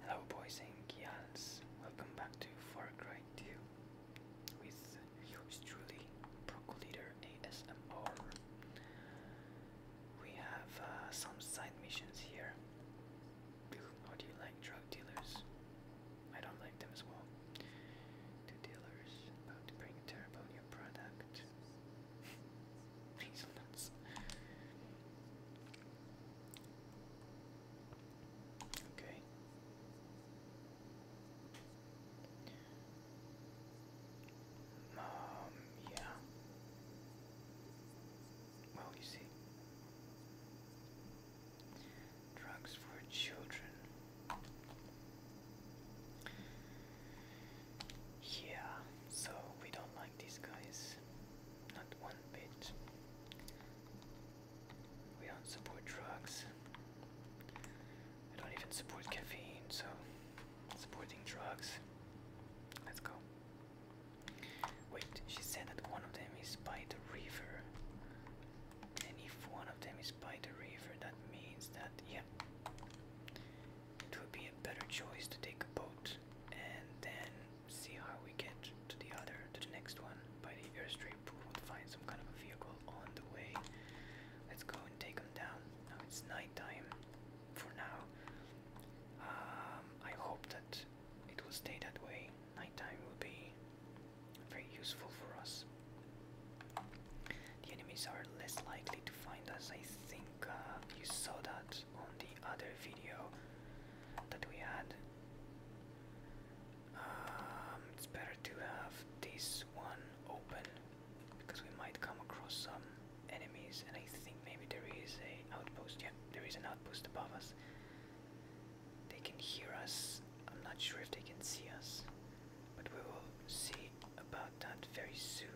Hello boys and girls, welcome back to Far Cry 2 with yours truly, Procoleader ASMR. We have uh, some side missions here. do you like drug dealers? I don't like them as well. dealers, about to bring a product. Okay. Um, yeah. Well, you see. Drugs for children. Yeah, so we don't like these guys. Not one bit. We don't support drugs. I don't even support caffeine, so supporting drugs. Let's go. Wait, she said that one of them is by the river. And if one of them is by the river, that means that, yeah, it would be a better choice to take a boat and then see how we get to the other, to the next one by the airstrip. We would find some kind of a vehicle on the way. Let's go and take them down. Now it's nighttime for now. Um, I hope that it will stay that way. Nighttime will be very useful for us. The enemies are less likely to find us. I think uh, you saw that on the other video that we had. Um, it's better to have this one open because we might come across some enemies and I think maybe there is a outpost. Yeah, there is an outpost above us. They can hear us. I'm not sure if they can see us, but we will see about that very soon.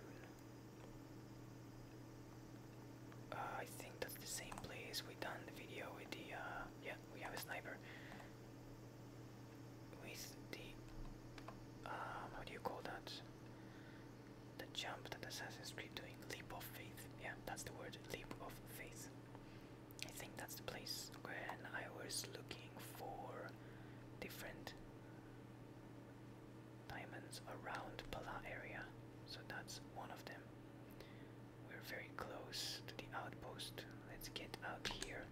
Uh, I think that's the same place we done the video with the, uh, yeah, we have a sniper. With the, um, how do you call that? The jump that Assassin's Creed doing, leap of faith. Yeah, that's the word, leap of faith. I think that's the place where I was looking for different diamonds around Pala area, so that's one of them. We're very close to the outpost. Let's get out here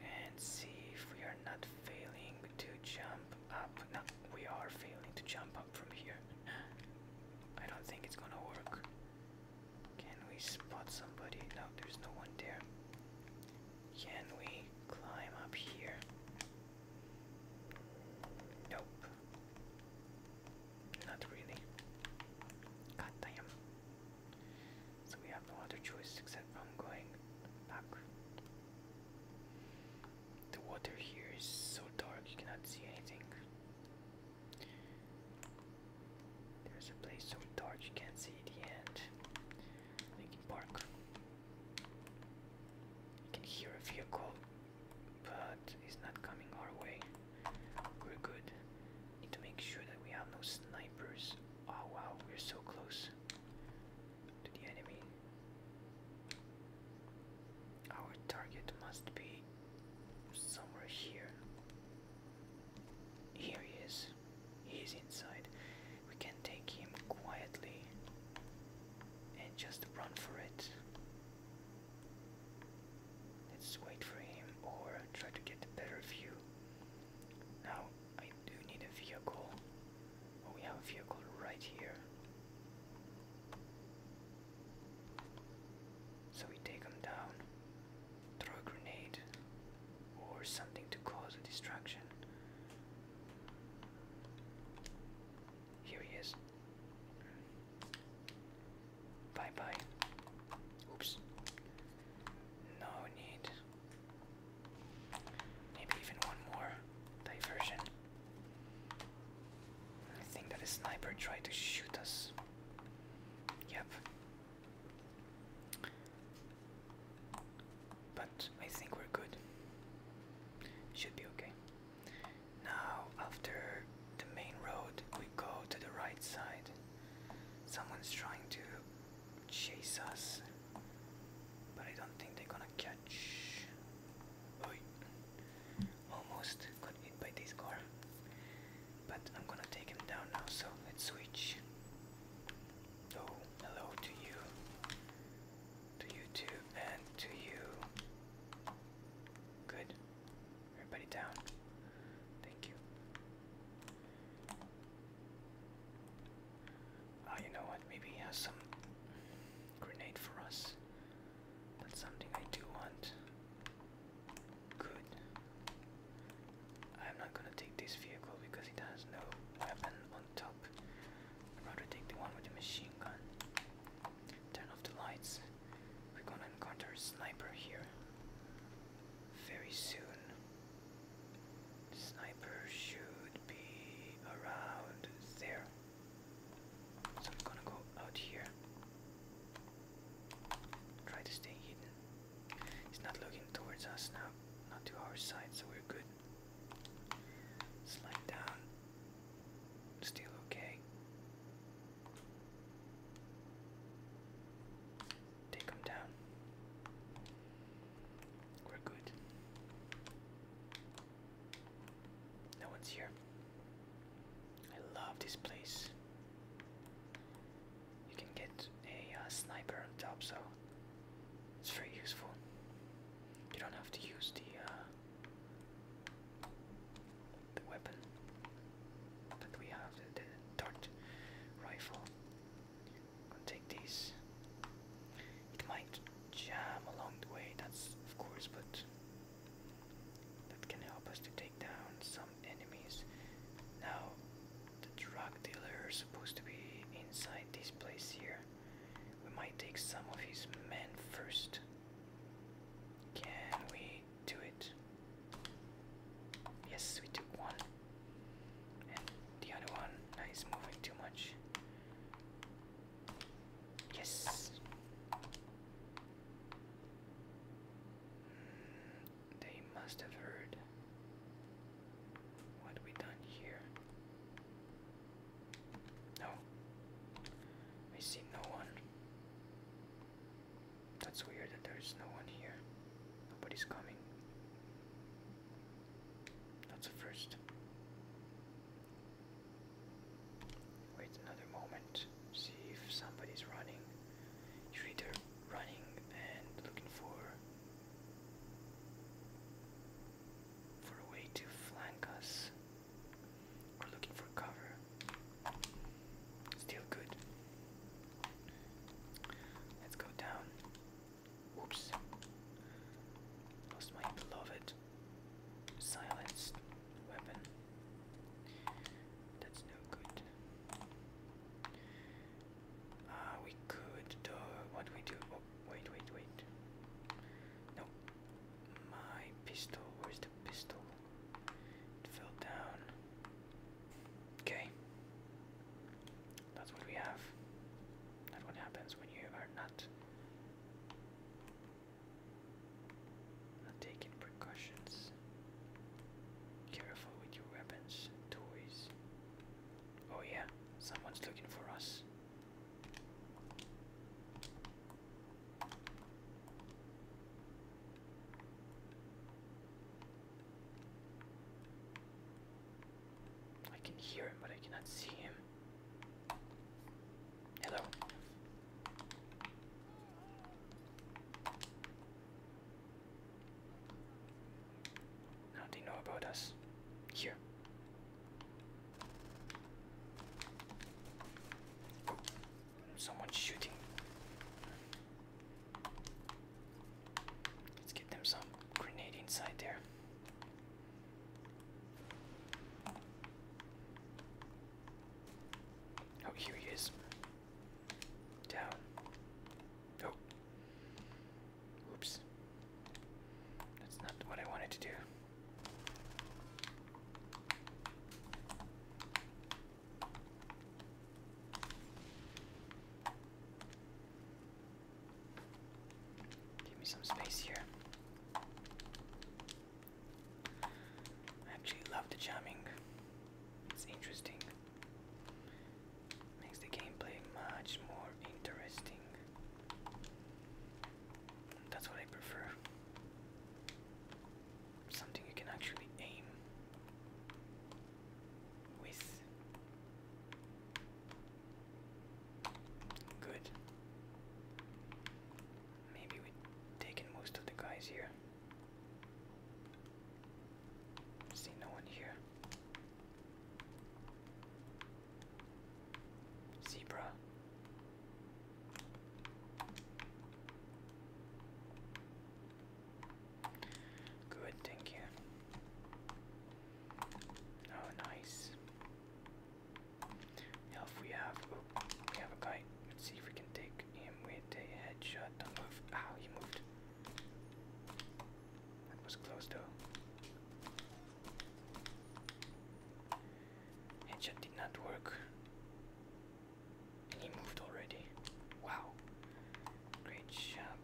and see if we are not failing to jump up. No, we are failing to jump up from here. I don't think it's gonna work. Can we spot somebody? No, there's no one there. Can we climb up here? Nope. Not really. God damn. So we have no other choice except from going back. The water here is so dark you cannot see anything. There's a place so dark you can't see the end. They park. can hear a vehicle, but it's not coming our way. We're good. Need to make sure that we have no snipers. Oh wow, we're so close to the enemy. Our target must be somewhere here. Here he is. He is inside we can take him quietly and just run for it. Let's wait for him or try to get a better view. Now I do need a vehicle. Oh, we have a vehicle right here. So we take him down, throw a grenade or something to cause a distraction. Here he is. Bye bye. Oops. No need. Maybe even one more diversion. I think that a sniper tried to shoot us. Yep. But I think we're good. Should be okay. Now, after the main road, we go to the right side. Someone's trying to chase us, but I don't think they're gonna catch. Almost got hit by this car, but I'm gonna take him down now, so let's switch. Oh, hello to you to YouTube and to you. Good. Everybody down. Thank you. Ah, you know what? Maybe he has some grenade for us. That's something I do want. Good. I'm not gonna take this vehicle because it has no weapon top. I'd rather take the one with the machine gun. Turn off the lights. We're gonna encounter a sniper here. Very soon. sniper should be around there. So I'm gonna go out here. Try to stay hidden. He's not looking towards us now, not to our side, so we're good down. Still okay. Take him down. We're good. No one's here. I love this place. You can get a uh, sniper on top, so it's very useful. You don't have to use the uh, the weapon that we have, the, dart rifle. take these. It might jam along the way, that's of course, but that can help us to take down some enemies. Now, the drug dealer is supposed to be inside this place here. We might take some of his men first. Can we do it? Yes, we took one. And the other one uh, moving too much. Yes. Hmm, they must have heard what we done here. No. I see no one. That's weird that there's no one here. Nobody's coming. That's a first. Wait another moment. See if somebody's running. You're either running and looking for for a way to flank us. we looking for cover. Still good. Let's go down. Oops. Lost my beloved silenced weapon. That's no good. Ah, we could do what we do. Oh, wait, wait, wait. No. My pistol. Where's the pistol? It fell down. Okay. That's what we have. That's what happens when you are not. Not taking precautions. Careful with your weapons, toys. Oh, yeah, someone's looking for us. I can hear him, but I cannot see him. Hello. Now they know about us. Here. Someone's shooting. Let's get them some grenade inside there. Oh, here he is. Down. Oh. Oops. That's not what I wanted to do. Give me some space here. I actually love the jamming. It's interesting. Makes the gameplay much more interesting. That's what I prefer. Something you can actually aim with. Good. Maybe we've taken most of the guys here. See no one here. Zebra. Good, thank you. Oh, nice. Now we have, we have a guy. Let's see if we can take him with a headshot. Don't move. Ow, ah, he moved. That was close though. Headshot did not work. he moved already. Wow. Great job.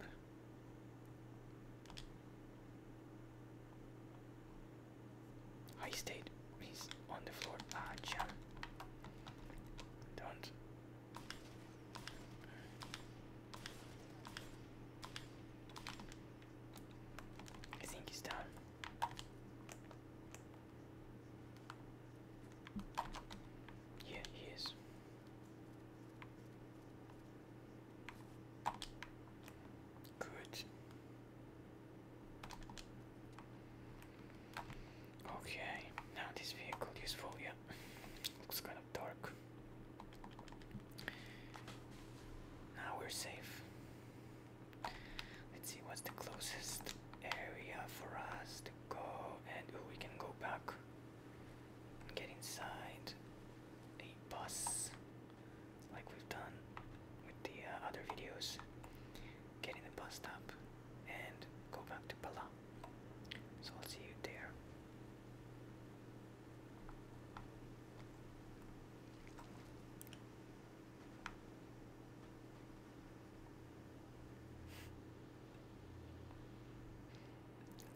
he stayed. He's on the floor. Ah, John, Don't. I think he's done. Yeah, he is. Good. Okay, now this vehicle is yeah. Looks good dark. Now we're safe. Let's see what's the closest area for us to go, and we can go back get inside a bus like we've done with the uh, other videos. Get in the bus stop and go back to Pala. So I'll see you there.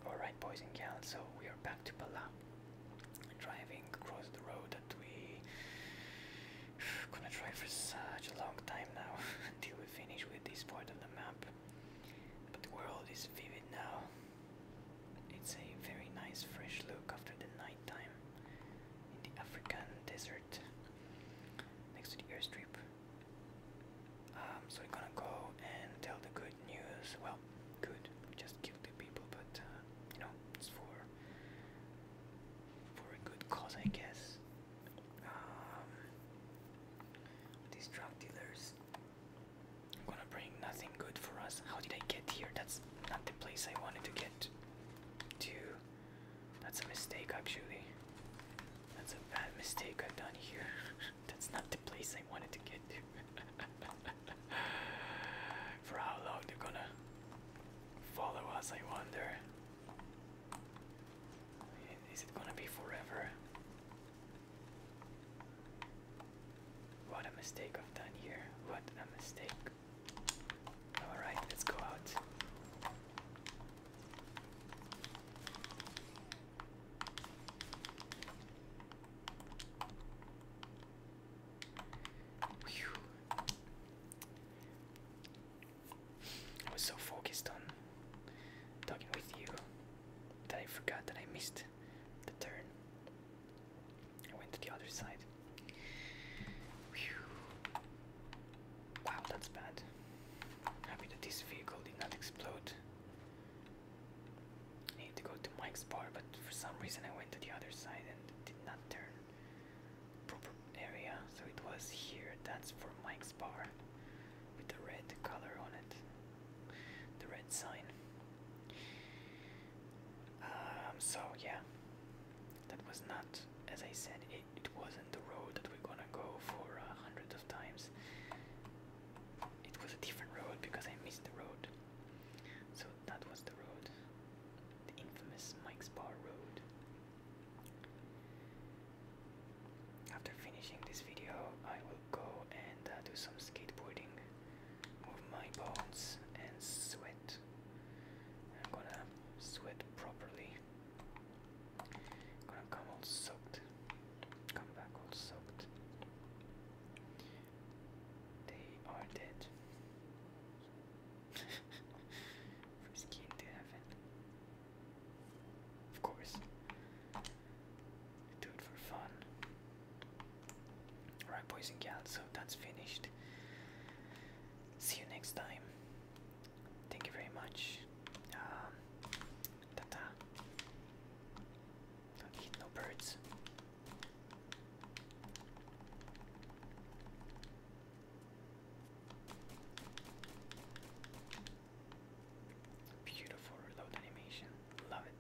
Alright, boys and girls. so we are back to Pala, driving across the road that we gonna drive for such a long time now until we finish with this part of the map. But the world is vivid now, it's a very nice fresh look after the nighttime in the African desert next to the airstrip. Um, so we're gonna go and tell the good news. Well, good. just killed two people, but uh, you know it's for for a good cause, I guess. Um, these drug I'm Gonna bring nothing good for us. How did I get here? That's not the place I wanted to get to. That's a mistake, actually. That's a bad mistake I've done here. That's not the place I wanted to get to. for how long they're gonna follow us, I wonder. Is it gonna be forever? What a mistake I've done here. What a mistake. Alright, let's go out. I was so focused on talking with you that I forgot that I missed the turn. I went to the other side. Wow, that's bad. Happy that this vehicle did not explode. need to go to Mike's bar, but for some reason I went to the other side and did not turn area. So it was here. That's for Mike's bar with the red color on it, the red sign. Um, so yeah, that was not, as I said, it, wasn't the road that we're gonna go for uh, hundreds of times. It was a different road because I missed the road. So that was the road, the infamous Mike's Bar Road. After finishing this video, I will go and uh, do some skateboarding with my bones and sweat. I'm gonna sweat properly. gonna come all soaked. Come back all soaked. They are dead. From skin to heaven. Of course do it for fun. Alright, boys and girls? so that's finished. See you next time. Thank you very much. Um, Tata. no birds. Beautiful reload animation. Love it.